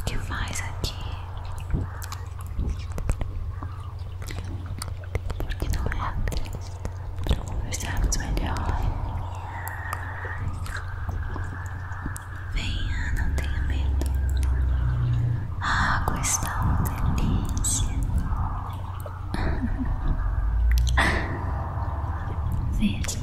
O que faz aqui? Porque não é para conversarmos melhor. Venha, não tenha medo. A água está uma delícia. Veja.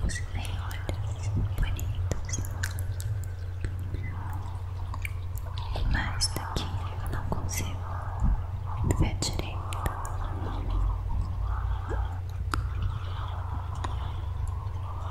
Você tem olhos bonitos, mas daqui eu não consigo ver direito.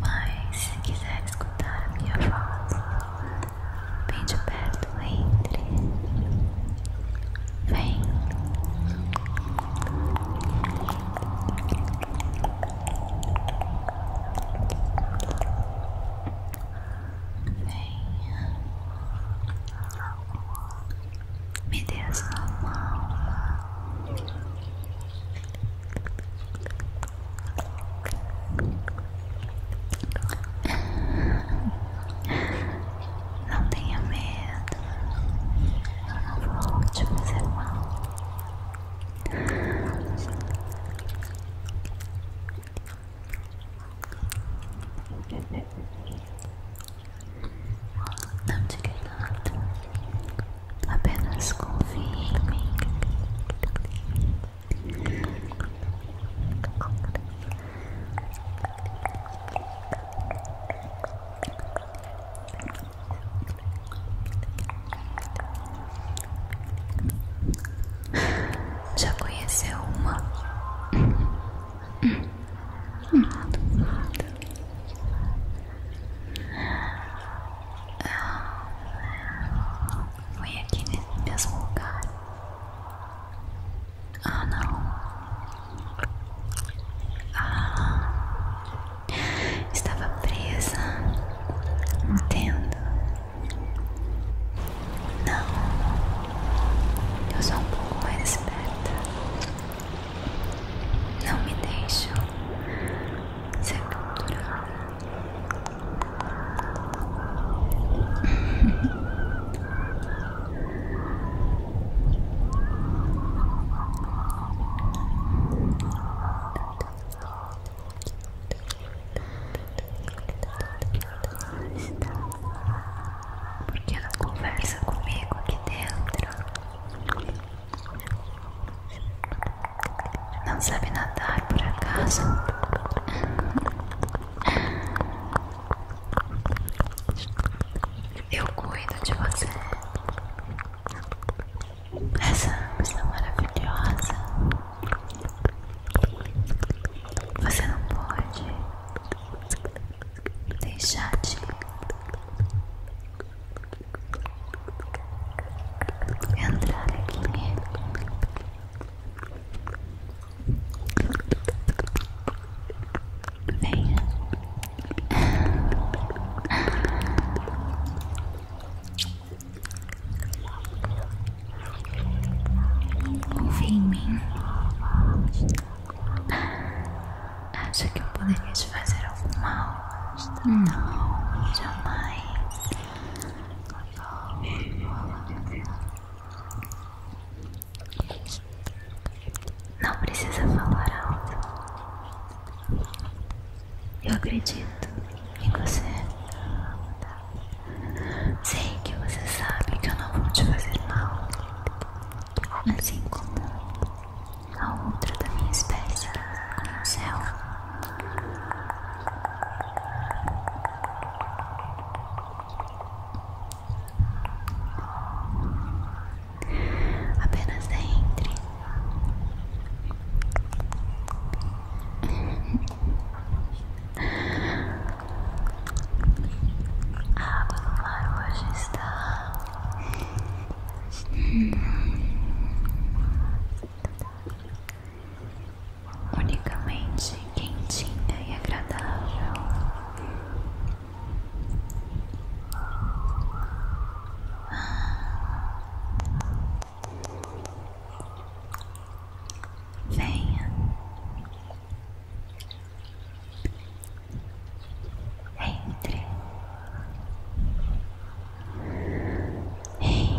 Mas se quiser escutar a minha voz bem de perto, entre. Vem. Me dê a Não tenha medo. Eu não vou te fazer mal. Não diga nada, apenas confie em mim. Já conheceu uma foi aqui nesse mesmo lugar. Ah, não. Ah, estava presa. Entendo. Não, eu sou um pouco mais esperta. Não me deixam ser Porque não conversa comigo aqui dentro. Não sabe nadar por acaso? Eu cuido de você. Essa está maravilhosa. Você não pode deixar de entrar aqui nele. Venha. Confia em mim. Acha que eu poderia te fazer algo mal? Hum. Não, jamais. Não precisa falar alto. Eu acredito em você. Sei que você sabe que eu não vou te fazer mal assim como a outra da minha espécie, como o céu. Apenas entre. A água do mar hoje está unicamente quentinha e agradável. Venha, entre, entre,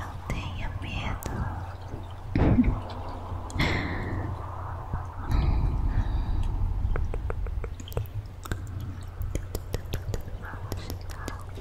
não tenha medo.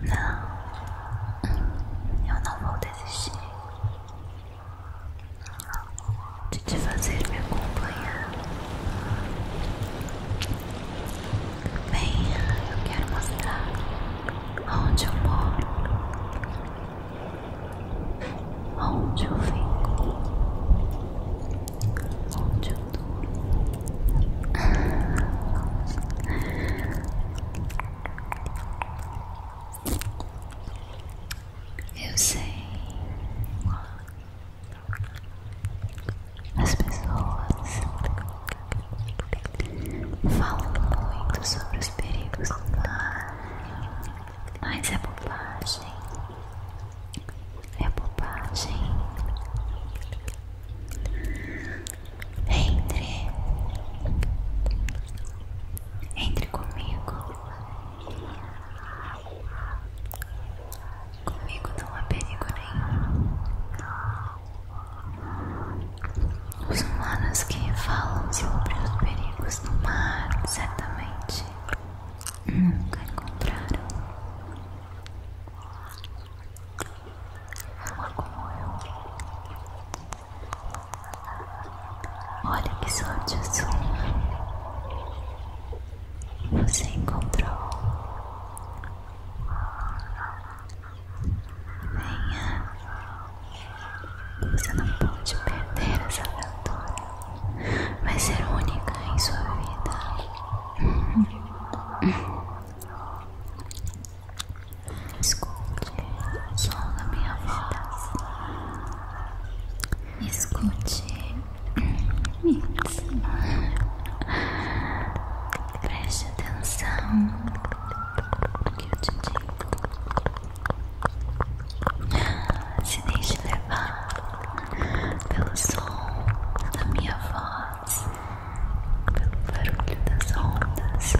Não, eu não vou desistir de te fazer me acompanhar. Venha, eu quero mostrar onde eu moro, onde eu fico, onde eu durmo. Eu sei. As pessoas Falam muito sobre os perigos do mar, mas é bobagem. É bobagem. Entre, entre comigo. Comigo não há perigo nenhum. Os humanos que falam sobre os perigos do mar certamente nunca encontraram uma como eu. Olha que sorte a sua! Você encontrou Venha. Você não pode perder essa aventura. Vai ser única em sua vida. Escute o som da minha voz. Escute. Preste atenção que ah, eu te digo. Se deixe levar pelo som da minha voz, pelo barulho das ondas.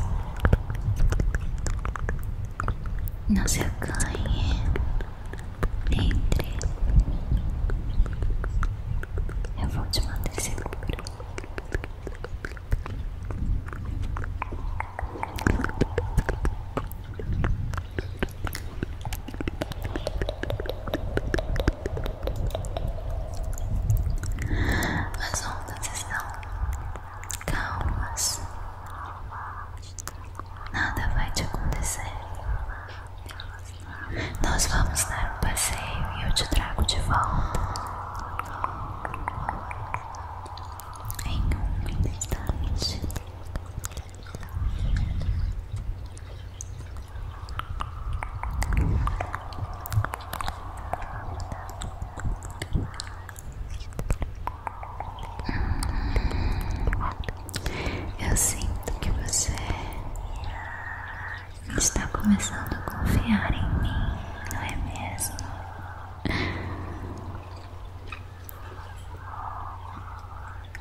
Não se acanhe, entre. Eu vou te manter seguro. As ondas estão calmas, nada vai te acontecer. Nós vamos dar um passeio e eu te trago de volta em um instante. Hum. Eu sinto que você está começando a confiar em mim, não é mesmo?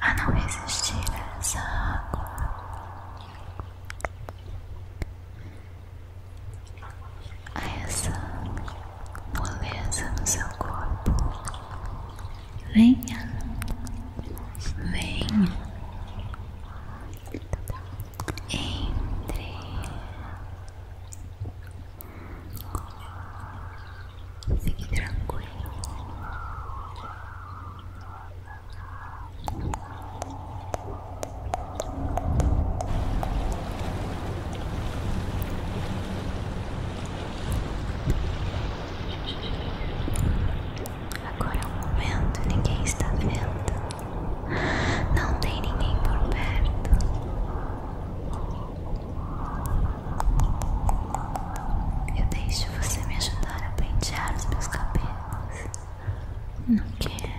a não resistir a essa água. A essa moleza no seu corpo. Venha, venha, entre fique tranquilo Agora é um momento, ninguém está vendo. Não tem ninguém por perto. Eu deixo você me ajudar a pentear os meus cabelos. Não quero.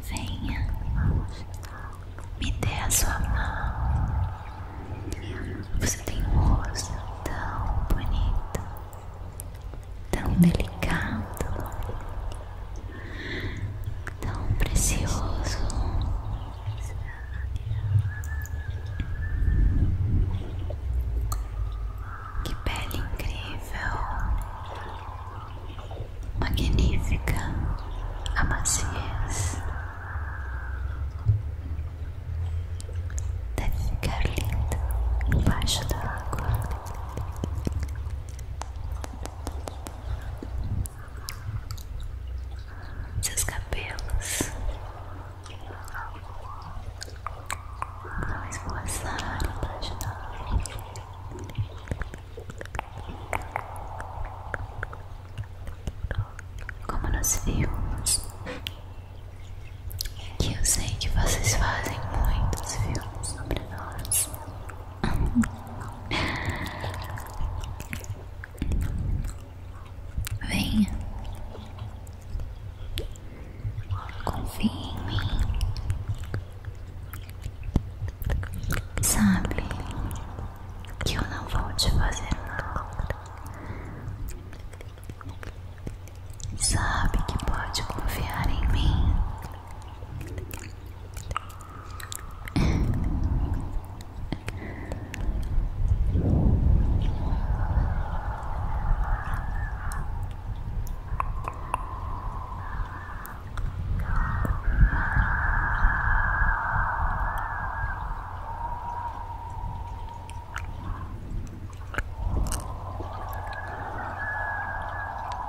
Venha, me dê a sua mão. Você tem um rosto tão bonito tão delicado, tão precioso. Que pele incrível, magnífica a maciez. Deve linda embaixo da água seus cabelos não esforçaram para como nos filmes que eu sei que vocês fazem muitos filmes sobre maravilhosa. Venha, confie em mim, sabe que eu não vou te fazer nada Sabe que pode confiar em mim.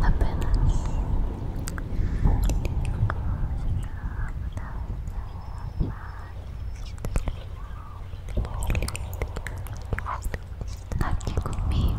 apenas tá aqui comigo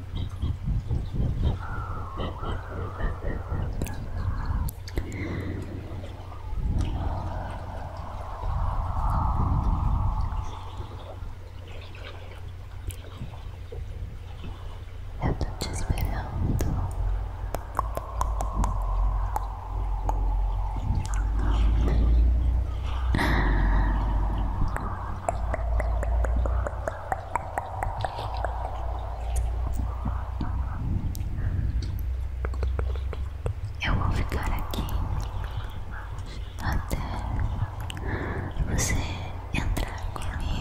Eu tô te esperando. Eu vou ficar aqui até você entrar comigo.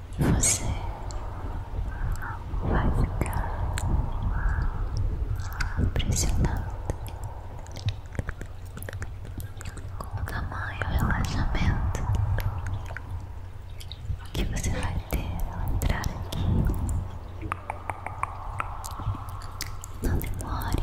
você vai ficar impressionado com o tamanho e o relaxamento que você vai ter ao entrar aqui. Não demore.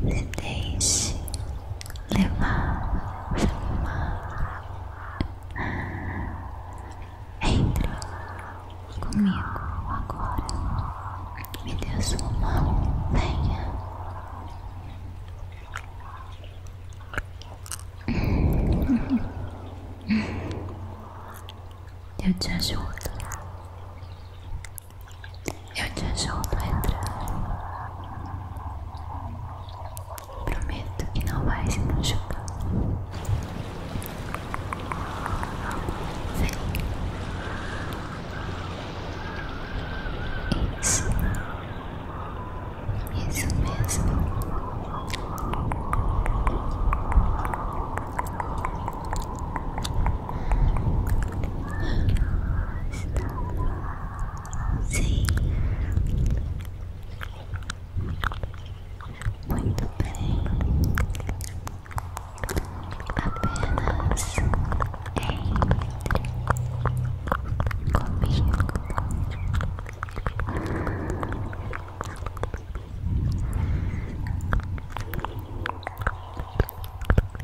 se deixe levar, levar. Entre comigo agora. Me dê sua mão, venha. Eu te ajudo. Eu te ajudo a entrar. Prometo que não vai se machucar. Isso. Isso mesmo. Sim. Muito bem. Apenas entre comigo.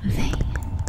Vem